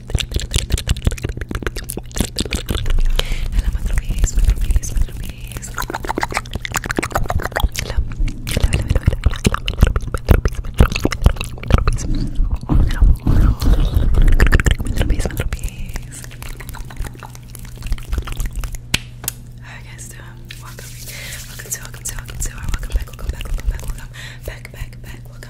Hello, my groupies, my groupies, my groupies. Hello, hello, hello, hello, hello, hello, Alright guys, so welcome, welcome to, welcome to, welcome to, welcome back, welcome back, welcome back, welcome back, back, back, welcome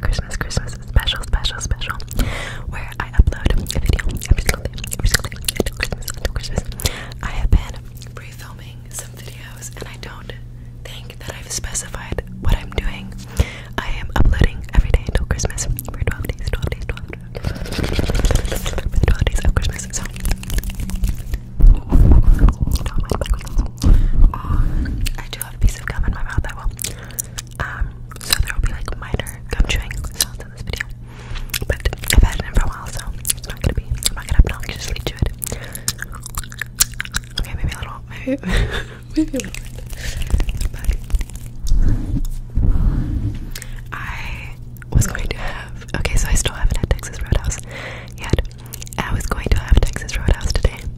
Christmas, Christmas special, special, special, where I upload a video every single day, every single day until Christmas, until Christmas. I have been re-filming some videos, and I don't think that I've specified what I'm doing. I am uploading every day until Christmas for 12 days, 12 days, 12 days, 12 days of Christmas. So, don't oh mind my um, I do have a piece of gum in my mouth, I will. Um, so there will be like minor gum chewing sounds in this video. But I've had it for a while, so it's not gonna be, I'm not gonna obnoxiously chew it. Okay, maybe a little, maybe, maybe a I was going to have, okay, so I still haven't had Texas Roadhouse yet. I was going to have Texas Roadhouse today.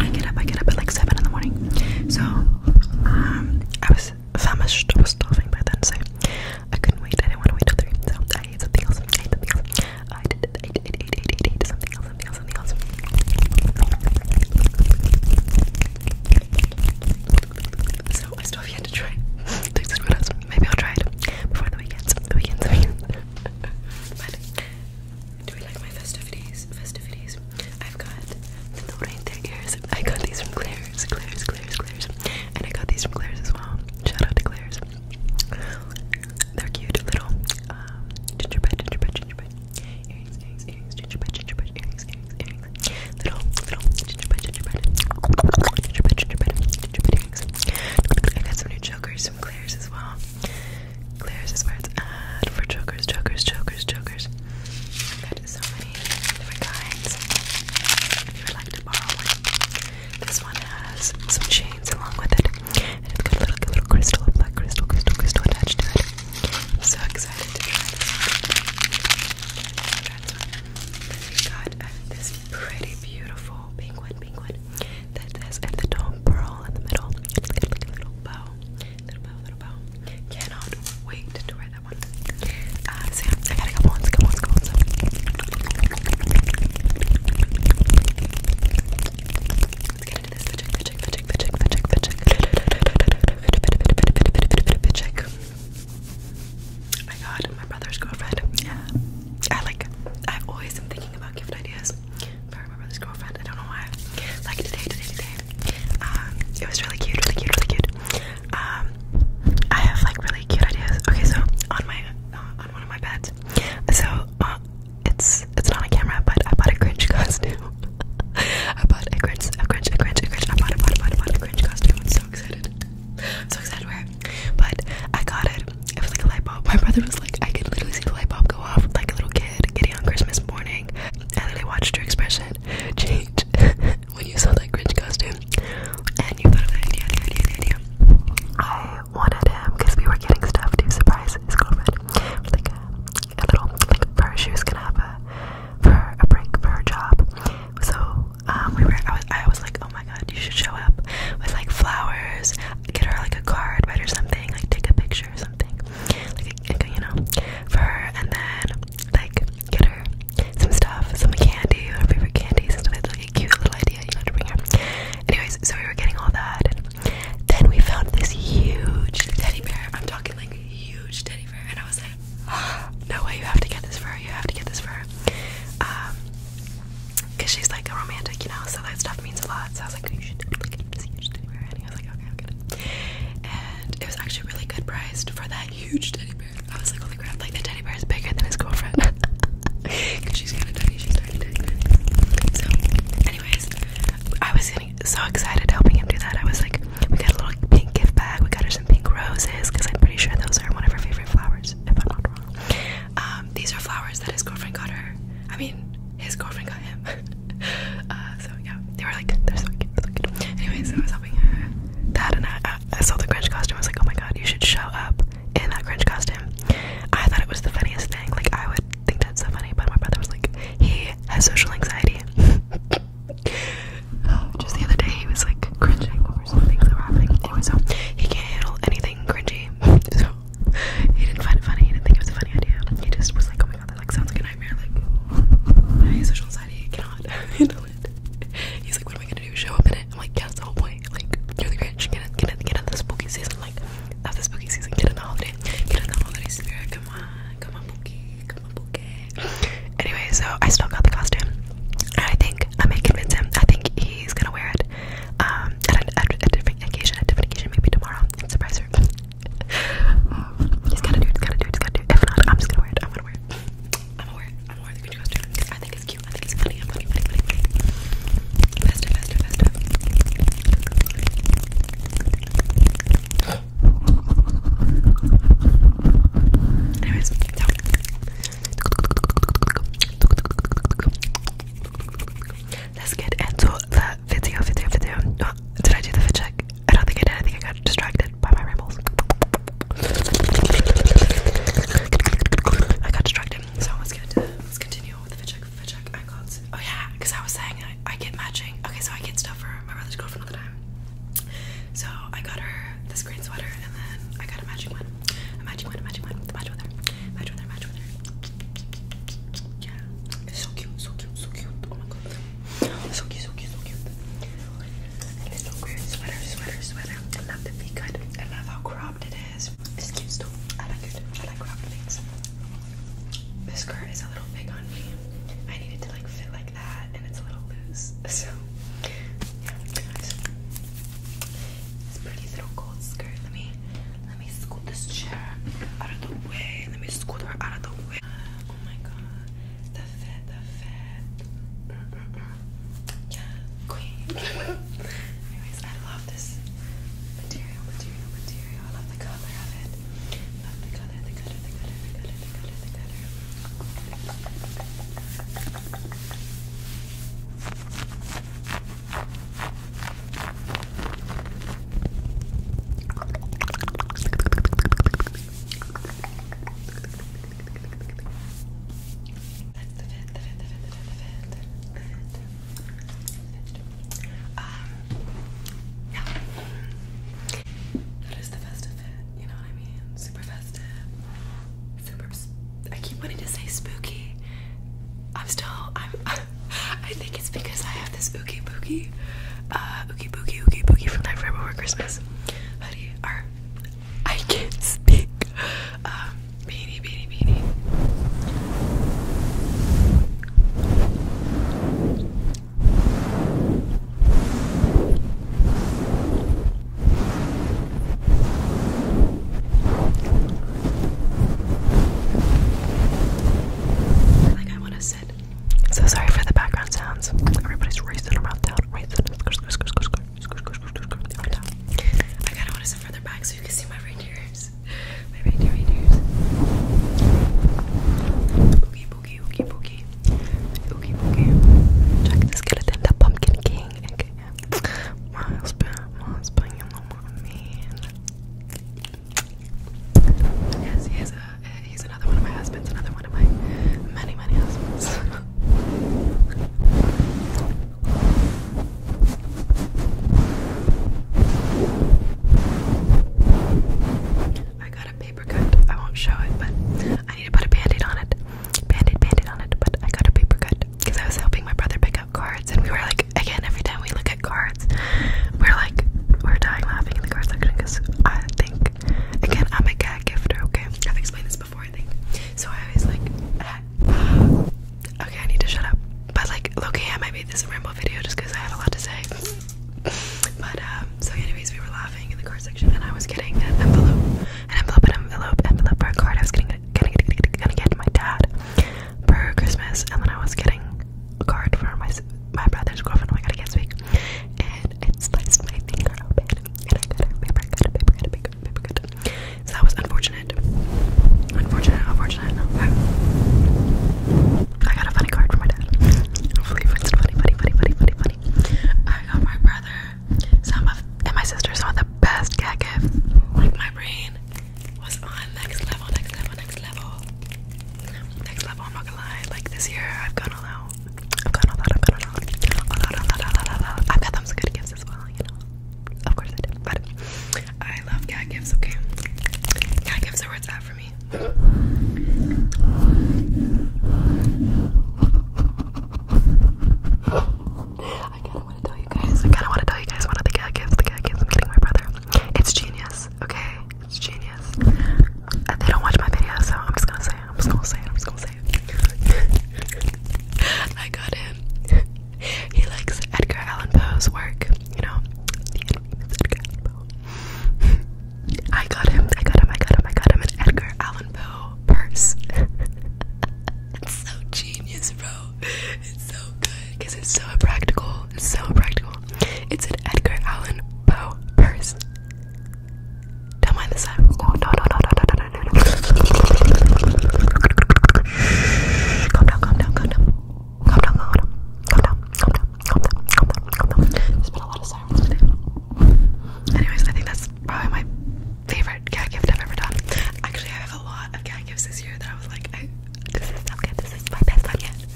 I get up, I get up at like 7 in the morning. So, um, I was famished, I was starving by then, so I couldn't wait. I didn't want to wait till 3, so I ate something else. I ate something else. I did, I ate, ate, ate, ate, ate, ate something else, something else, something else. So, I still have yet to try Texas Roadhouse. Maybe I'll try it before the weekend. The weekend, the weekend. but do we like my festivities? Festivities. I've got the Norente ears. I got these from Claire's, Claire's, Claire's, Claire's. And I got these from Claire's as well. Shout out to Claire's. They're cute little um, gingerbread, gingerbread, gingerbread. Earrings, earrings, earrings, gingerbread, gingerbread, earrings, earrings, earrings. Little, little gingerbread, gingerbread. Gingerbread, gingerbread, earrings. I got some new jokers from Claire's as well. Claire's is where it's at for jokers, jokers, jokers, jokers. i so many different kinds. If you like to borrow this one has some chains along with it, and it's got a little, crystal, a black crystal, crystal, crystal attached to it. I'm so excited to try this we got this pretty, beautiful pink one, that has at top pearl in the middle. It's got like a little bow. Little bow, little bow. Cannot wait to wear that one. Uh, so I gotta go once, go once, go once. Let's get into this. The check, the check, the check, the check, my brother's girlfriend. Yeah. I like, I always am thinking about gift ideas because sorry, my girlfriend. I don't know why. Like today, today, today. Um, it was really cute, really cute, really cute. Um, I have like really cute ideas. Okay, so on my uh, on one of my beds. So uh, it's it's not a camera, but I bought a Grinch costume. I bought a Grinch, a Grinch, a Grinch, a Grinch. I bought, I bought, I bought, I bought a Grinch costume. I'm so excited. I'm so excited to wear it. But I got it. It was like a light bulb. My brother was like, I could literally see the light bulb go off, like a little kid kid, Kitty on Christmas morning. and I watched your expression change when you saw that Grinch costume, and you thought of that idea, idea, idea. I wanted him because we were getting stuff to surprise his girlfriend, like a, little like for she was gonna have a for a break for her job. So um, we were. I was, like, oh my god, you should show up with like flowers, get her like a card, right, or something, like take a picture or something, you know, for her, and then like get her some stuff, some candy, her favorite candies, and stuff. It's like a cute little idea, you know, to bring her. Anyways, so we were getting all that, and then we found this huge teddy bear. I'm talking like huge teddy bear, and I was like, oh, no way, you have to get this for her. You have to get this for her. Um, Cause she's like a romantic, you know, so that stuff means a lot. So I was like, you should totally get this huge teddy bear. And he was like, okay, I'll get it and it was actually really good priced for that huge teddy bear. I was like, holy crap, like the teddy bear is bigger than his girlfriend. she's kinda tiny, she's tiny, tiny, So anyways, I was getting so excited helping him do that. I was like, we got a little pink gift bag, we got her some pink roses, because I'm pretty sure those are one of her favorite flowers, if I'm not wrong. Um, these are flowers that his girlfriend got her. I mean, his girlfriend got him. uh, so yeah, they were like, they're so cute, they're so cute. Anyway, I was helping her. That and I, saw the cringe costume. I was like, oh my god, you should show up in that cringe costume. I thought it was the funniest thing. Like I would think that's so funny, but my brother was like, he has social anxiety. Um, just the other day, he was like cringing over some things that were happening. Anyway, he can't handle anything cringy. So he didn't find it funny. He didn't think it was a funny idea. He just was like, my like sounds like a nightmare. Like my social anxiety cannot handle it. He's like, what am I gonna do? Show up in it? I'm like, yeah, that's the whole point. Like, you're the Grinch. Get in, get in, get in the spooky season. Like, that's the spooky season. Get in the holiday. Get in the holiday spirit. Come on, come on, Pookie. Come on, Pookie. Anyway, so I still got the costume. And I think I may convince him. I think he's gonna wear it. Um, at a, at a different occasion, a different occasion, maybe tomorrow. Surprise her um, he's gotta do it, he's gotta do it, he's gotta do it. If not, I'm just gonna wear it. I'm gonna wear it. I'm gonna wear it. I'm gonna wear the Gucci costume because I think it's cute. I think it's funny. I'm funny, funny, funny, funny. Faster, faster, faster. Anyways, so let's get into the video, video, video. No, oh, did I do the fit check? I don't think I did. I think I got distracted by my rambles. I got distracted. So let's get let's continue with the fit check. Fit check. I got. Oh yeah, because I was saying I, get matching. Okay, so I get stuff for my brother's girlfriend all the time. So I got her this green sweater, and then I got a matching one. A matching one. A matching one. The match with her. Match with her. Match with her so cute, so cute, so cute. Oh so cute, so cute, so cute. Sweater, sweater, sweater. I love the V cut. I love how cropped it is. It's cute too. I like it. I like cropped things. The skirt is a little big on me. I need to like fit like that, and it's a little loose. So, yeah, pretty little gold skirt. Let me, let me scoot this chair out of the way. Let me scoot her out of the way oh my god, the fat, the fat. Yeah, queen. Anyways, I love this material, material, material. I love the color of it. Love the color, the color, the color, the color, the color, the color. That's the fifth, the fifth, the the fifth, the the fifth. Um, yeah. That is the festive fit, you know what I mean? Super festive. Super, I keep wanting to say spooky. I'm still, I'm, I think it's because I have this Oogie Boogie, uh, Oogie Boogie, Oogie Boogie from Night Forever Before Christmas hoodie. Or I can't speak. Um, beanie, beanie, beanie. Like I want to so sorry for the background sounds. Everybody's racing around town, racing. I kind of want to sit further back so you can see my reindeers. My reindeer reindeers. Boogie, boogie, boogie, boogie. Boogie, boogie. Jack the skeleton, the pumpkin king. Miles, Miles, Yes, he's a he's another one of my husbands, another one of my many, many husbands. I got a paper cut. I won't show it, but I need to put a band-aid on it. Band-aid, on it, but I got a paper cut. Because I was helping my brother pick out cards and we were like again every time we look at cards we're like, we're dying laughing in the card section because I think, again, I'm a cat gifter, okay? I've explained this before, I think. So I always like, okay, I need to shut up. But like, low I might make this ramble video just because I had a lot to say. But, um, so anyways, we were laughing in the card section and I was getting an envelope, an envelope, an envelope, envelope for a card I was getting, getting, getting, getting, getting, getting my dad for Christmas and then I was getting a card for my my brother's girlfriend. Oh my god, I can't And it sliced my finger open, and I got a paper cut, paper cut, paper cut, paper cut. So that was unfortunate. Unfortunate, unfortunate. I got a funny card from my dad. Hopefully, it's funny, funny, funny, funny, funny, funny. I got my brother some of and my sister some of the best cat gift. Like my brain was on next level, next level, next level next level. I'm not gonna lie. Like this year, I've gone a lot. I've gone a lot. I've gone all out. All out, all out, all I've got them some good gifts as well. You know, of course I But I love cat gifts. Okay, cat gifts are where it's for me. I kind of want to tell you guys. I kind of want to tell you guys one of the gifts. The gifts I'm getting my brother. It's genius okay? It's genius. Uh, they don't watch my videos, so I'm just gonna say it. I'm just gonna say it. I'm just gonna say it. I got him. He likes Edgar Allan Poe's work, you know? Edgar Poe. I got him. I got him. I got him. I got him an Edgar Allan Poe purse. it's so genius, bro. It's so good because it's so impractical. It's so practical. It's an Edgar Allan Poe purse. Don't mind the side. Oh, no, no, no, no, no, no, no, no. Calm calm down, calm down. Calm down, calm down. Calm down, calm down, calm down, calm down, There's been a lot of sirens today. Anyways, I think that's probably my favorite cat gift I've ever done. Actually, I have a lot of cat gifts this year that I was like, this is okay, this is my best one yet.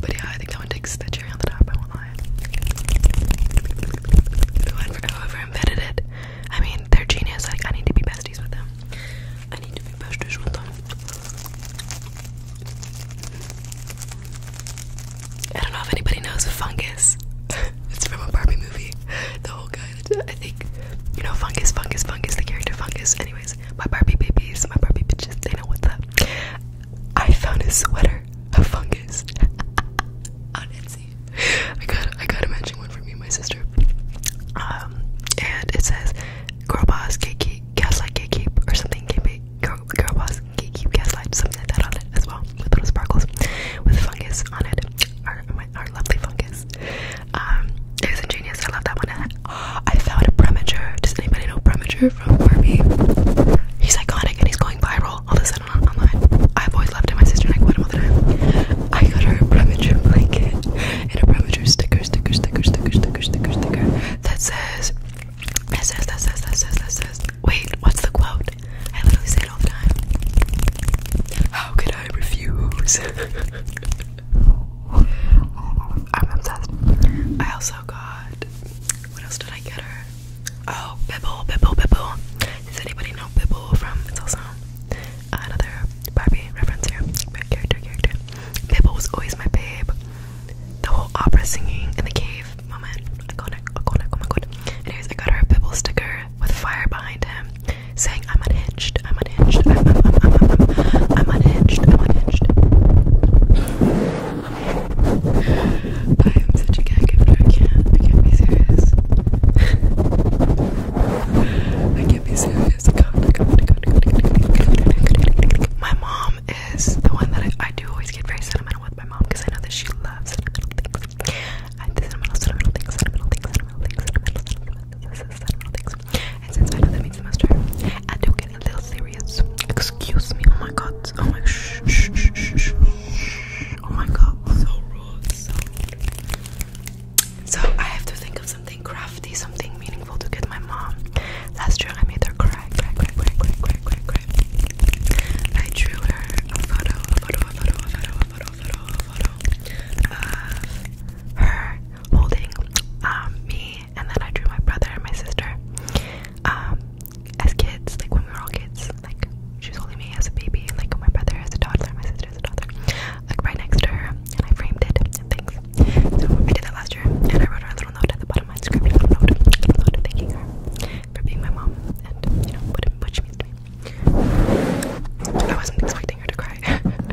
but yeah, I think that one takes the on the top, I won't lie. Whoever, invented it, I mean, they're genius. Like, I need to be besties with them. I need to be besties with them. I don't know if anybody knows fungus. it's from a Barbie movie. The whole guy I think, you know, Fungus, Fungus, Fungus, the character Fungus. Anyways, my Barbie babies, my Barbie bitches, they know what's up. I found a sweater of Fungus on Etsy. I got, I got a matching one for me and my sister. Um, and it says, girl boss, gatekeep, gaslight, gatekeep, or something, gatekeep, girl, girl boss, gatekeep, gaslight, something like that on it as well, with little sparkles, with Fungus on it. Or, my, our lovely fungus. Um, it was ingenious. I love that one. And I, I found a premature. Does anybody know premature from Barbie? He's iconic and he's going viral all of a sudden on, online. I've always loved him. My sister and I quote him all the time. I got her a premature blanket and a premature sticker, sticker, sticker, sticker, sticker, sticker, sticker that says, that says, that says, that says, that says. Wait, what's the quote? I literally say it all the time. How could I refuse? I'm obsessed. I also got. What else did I get her? Oh, Bibble, Bibble, Bibble. Does anybody know Bibble from? It's also another Barbie reference here. Right character, character. Bibble was always my babe. The whole opera singing in the cave moment. Iconic, iconic, oh my god. Anyways, I got her a Bibble sticker with fire behind him saying I'm unhinged, I'm unhinged, I'm, I'm, I'm, I'm, I'm, I'm, I'm unhinged, I'm unhinged. I am such a gag after I can't, I can't be serious. I can't be serious. God, God, God, God. My mom is the one that I, I do always get very sentimental with my mom because I know that she loves sentimental things. I do sentimental, sentimental things, sentimental things, sentimental things, sentimental, sentimental, and since I know the most sense, I do get a little serious. Excuse me. Oh my god. Oh my shh shh shh shh. Oh my god. So rude. So. I have to think of something crafty, something meaningful to get my mom. Last year I made her cry, cry, cry, cry, cry, cry, cry. I drew her a photo, a photo, a photo, a photo, a photo, a photo, a photo of her holding um, me, and then I drew my brother and my sister um, as kids, like when we were all kids. Like she was holding me as a baby, like my brother as a toddler, my sister as a toddler, like right next to her, and I framed it and things. So I did that last year, and I wrote her a little note at the bottom of my script, a little note, a little note thanking her for being my mom and you know what, what she means to me. I wasn't expecting her to cry.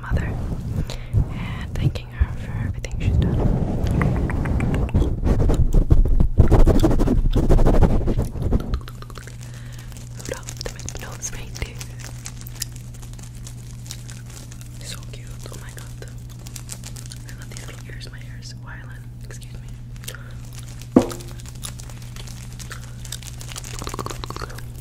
mother and thanking her for everything she's done. So cute. Oh my god. I love these little ears. My hair is Excuse me.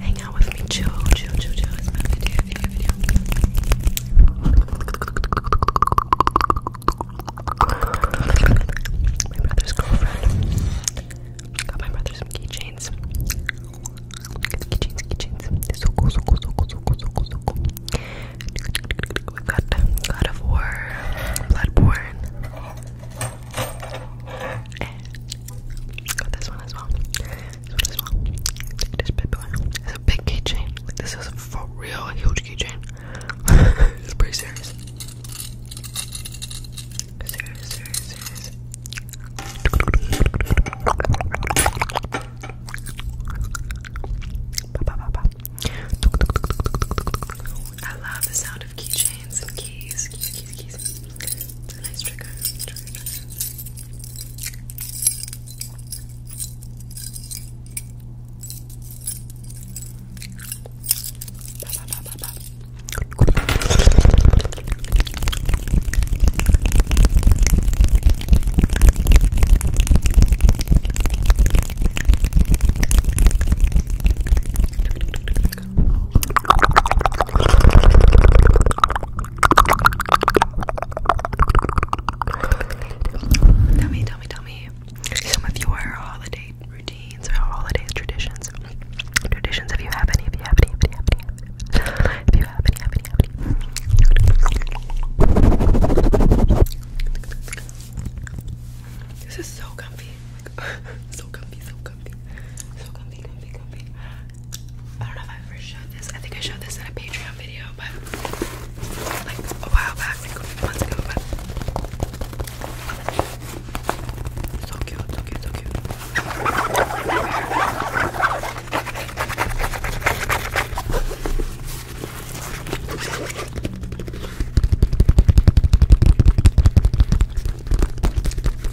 Hang out with me, chill, chill, chill, chill. my brother's girlfriend. Got my brother keychains. Keychains, keychains. They're so cool, so cool, so cool, so cool, so We've got God of War, Bloodborne got this one as well. This one as well. Take this bit It's a big keychain. this is for real huge keychain. it's pretty serious. Serious, serious, serious. I love the sound of keychains and Keys, easy, easy, easy. It's a nice trigger. trigger, trigger. Ba, ba, ba, ba, ba. Tell me, tell me, tell me some of your holiday routines or holiday traditions. Traditions, if you have any, if you have any, if you have any, if you have any, This is so comfy. so comfy, so comfy. So comfy, comfy, comfy. I don't know if I ever showed this. I think I showed this in a Patreon video, but like a while back, like months ago, but so cute, so cute, so cute.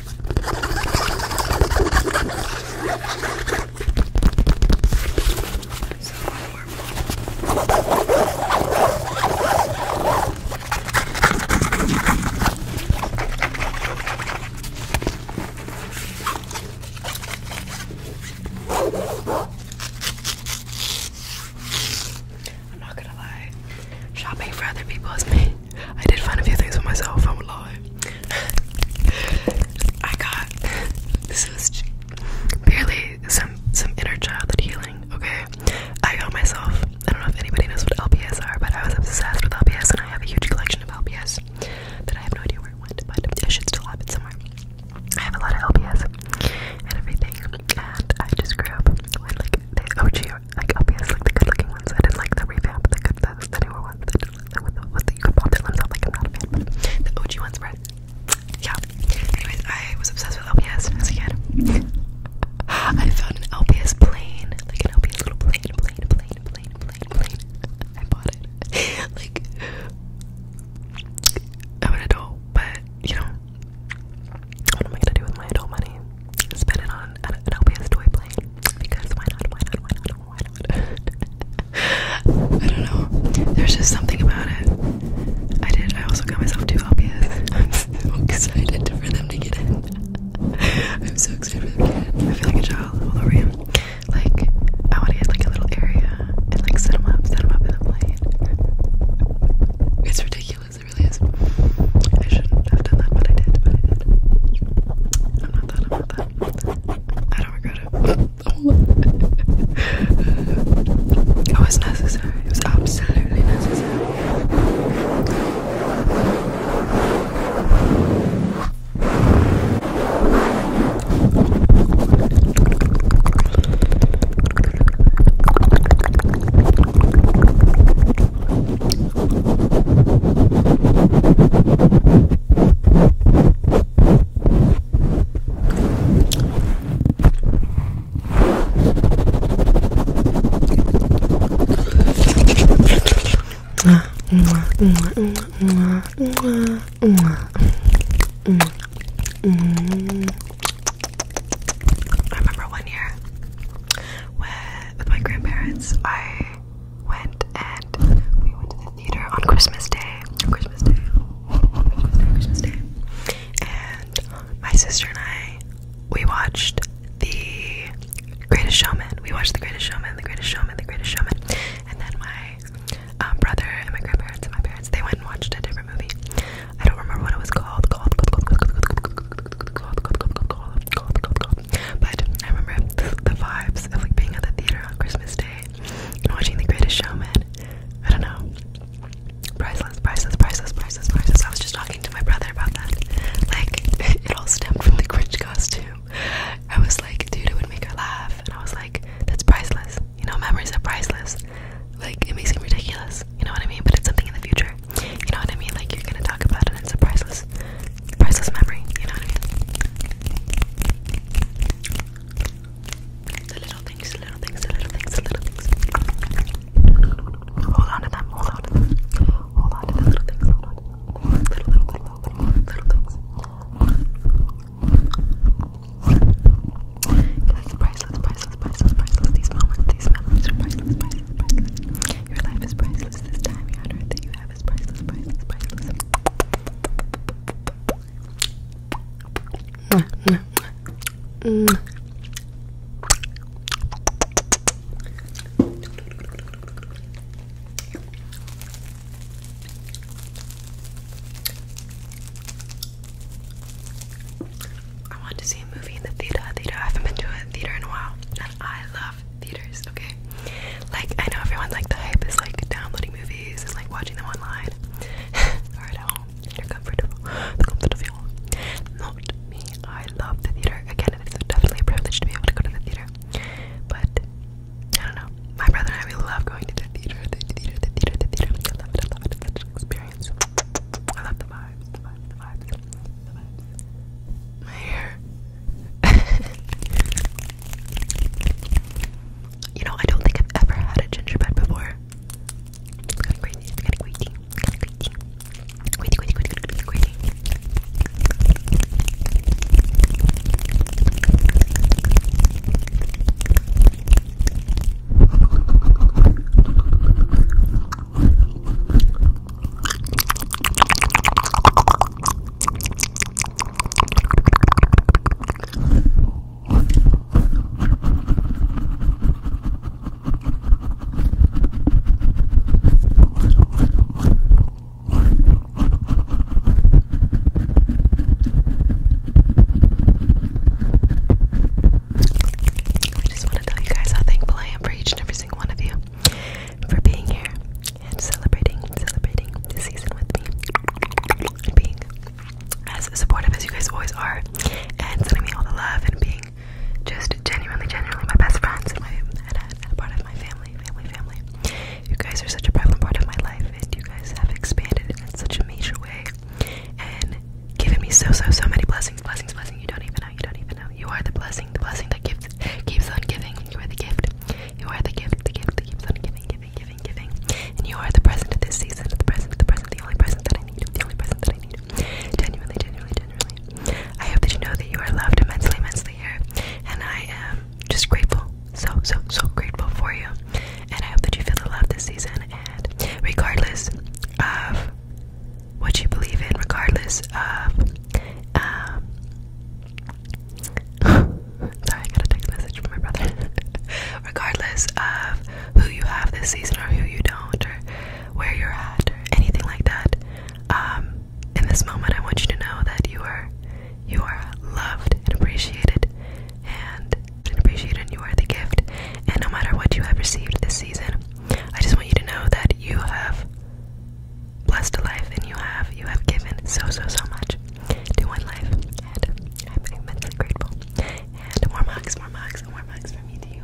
I'm not gonna lie, shopping for other people is pain. I did find a few things for myself, I am alive. I got this is purely some some inner child healing, okay? I got myself, I don't know if anybody knows what LPS are, but I was obsessed with LPS and I have a huge collection of LPS that I have no idea where it went, but I should still have it somewhere. I have a lot of LPS and everything, and I just grew up when like OG anyway, like obviously the good looking ones. I didn't like the revamp, the good the, the newer ones the, the, with the with the you could pop their limbs off like I'm not a fan, but the OG ones were yeah. Anyways, I was obsessed with LPS as a kid. I found an LPS plane, like an LPS little plane, plane, plane, plane, plane, plane. I bought it. like I'm an adult, but you know what am I gonna do with my adult money? Spend it on an LPS toy plane. Because why not? Why not? Why not? Why not? I don't know. There's just something about it. I did. I also got myself two LPS. I'm so excited for them to get in. I'm so excited for them to get in. I feel like a child all over you. Like, I want to get like a little area and like set them up, set them up in the plane. It's ridiculous it really is. I shouldn't have done that, but I did, but I did. I'm not that, I'm not that. I that i do not regret it. it was necessary, it was absolutely necessary. I remember one year where with my grandparents I went and we went to the theater on Christmas Day. Christmas Day. Christmas Day, And my sister and I we watched the Greatest Showman. We watched the Greatest Showman, the Greatest Showman, the Greatest Showman. And then my brother and my grandparents and my parents they went and watched a different movie. I don't remember what it was called, called, but I remember the, vibes of like being at the theater on Christmas Day and watching The Greatest Showman. I don't know. Priceless, priceless, priceless, priceless, priceless. I was just talking to my brother about that. Like, it all stemmed from the cringe costume. I was like, dude, it would make her laugh. And I was like, that's priceless. You know, memories are priceless. Like, it may seem ridiculous. You know what I mean? But it's something in the future. You know what I mean? Like you're gonna talk about it. It's a priceless, priceless memory. You know what I mean? The little things, the little things, the little things, the little things. Hold on to them. Hold on to them. Hold on to the little things. Little, little, little, little, little, little things. That's priceless, priceless, priceless, priceless. These moments, these moments priceless, priceless, priceless. Your life is priceless. I want to see a movie in the theater. Theater. I haven't been to a theater in a while. I love theaters, okay? Like, I know everyone's like, the hype is like downloading movies and like watching them online or at home in your comfortable, of the comfort home. Not me, I love the theater. Again, it is definitely a privilege to be able to go to the theater, but I don't know. My brother and I, we love going to the theater, the theater, the theater, the theater. I love it, I love it's such an experience. I love the vibes. My hair. you know, I don't think I've ever had a gingerbread before. I just want to tell you guys how thankful I am for each and every single one of you for being here and celebrating, celebrating the season with me. And being as supportive as you guys always are, and sending me all the love, and being just genuinely, genuinely my best friends and, my, and, a, part of my family, family, family. You guys are such a prevalent part of my life, and you guys have expanded in such a major way and given me so, so, so many blessings, blessings, blessings. You don't even know, you don't even I know you are the blessing, the blessing that gives keeps on giving. You are the gift. You are the gift, the gift that keeps on giving, giving, giving, giving. And you are the present of this season, the present, the present, the only present that I need, the only present that I need. Genuinely, genuinely, genuinely. I hope that you know that you are loved immensely, immensely here. And I am just grateful, so, so, so grateful for you. And I hope that you feel the love this season. And regardless of what you believe in, regardless of. Um, sorry, I got a text message from my brother. regardless of who you have this season or who you don't, or where you're at, or anything like that, um, in this moment, I want you to know that you are you are loved and appreciated, and, and appreciated. And you are the gift. And no matter what you have received this season, I just want you to know that you have blessed life and you have you have given so so so much to one life and I'm immensely grateful and more mugs more mugs more mugs from me to you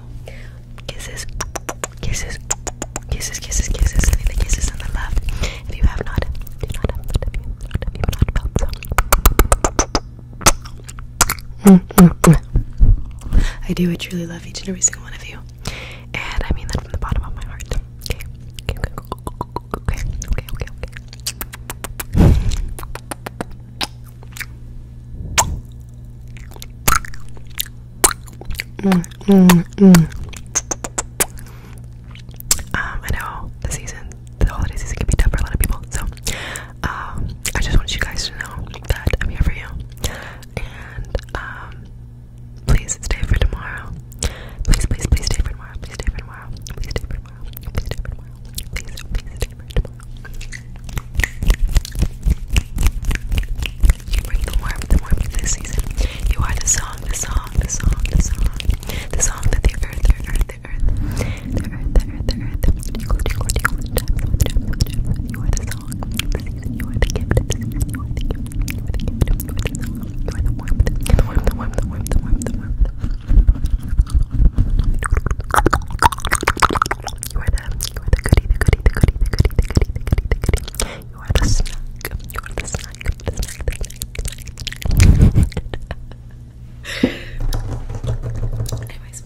kisses kisses kisses kisses kisses I the kisses and the love if you have not do not have but if you if you not felt so mm, mm, mm. I do I truly love each and every single one of you and I mean that from the bottom of my heart. Okay. Okay, okay, okay, okay, okay. Mm, mm, mm, Um, I know the season, the holiday season can be tough for a lot of people, so um, I just want you guys to know that I'm here for you and um please stay for tomorrow. Please, please, please stay for tomorrow. Please stay for tomorrow. Please stay for tomorrow. Please stay for tomorrow. Please, please stay for tomorrow. You bring the warmth, the warmth this season. You are the song, the song, the song, the song, the song that the earth, the earth, the earth, the earth, the earth, the earth. You are the song, song of the season. You are the gift of the season. You are the gift. You are the gift of the season. You are the warmth. The warmth. The warmth. The warmth. The warmth. The warmth. You are the. You are the goodie. The goodie. The goodie. The goodie. The goodie. The goodie. The goodie. You are the snack. You are the snack. The snack. The snack. The snack. Anyways,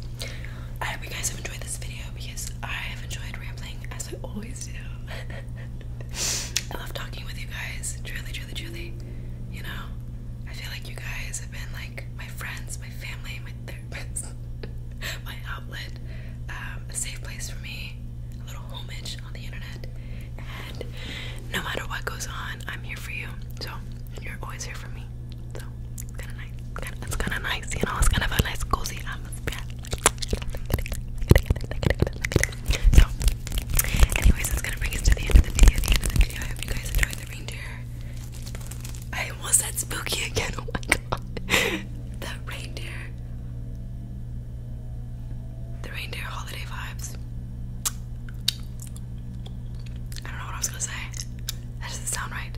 I hope you guys have enjoyed this video because I have enjoyed rambling as I always do. I love talking with you guys, truly, truly, truly. You know, I feel like you guys have been like my friends, my family, my therapist, my outlet, um, a safe place for me, a little homage on the internet. And no matter what goes on, I'm here for you. So you're always here for me. So it's kind of nice. It's kind of nice, you know. It's kind of a nice cozy atmosphere. So, anyways, that's gonna bring us to the end of the video. The end of the video. I hope you guys enjoyed the reindeer. I almost said spooky again. Oh my god, the reindeer, the reindeer holiday vibes. I don't know what I was gonna say. That doesn't sound right.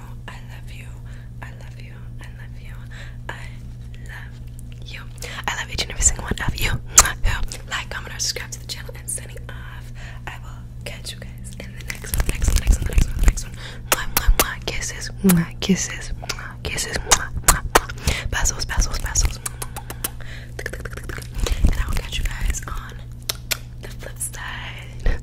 you, I love you, I love you, I love you, I love you. I love each and every single one of you. Like, comment, or subscribe to the channel. I'm signing off. I will catch you guys in the next one, the next one, the next one, the next one, the next one. Mwah, mwah, mwah. Kisses, mwah, kisses, mwah, kisses, mwah, mwah, mwah. Bassos, bassos, bassos. And I will catch you guys on the flip side.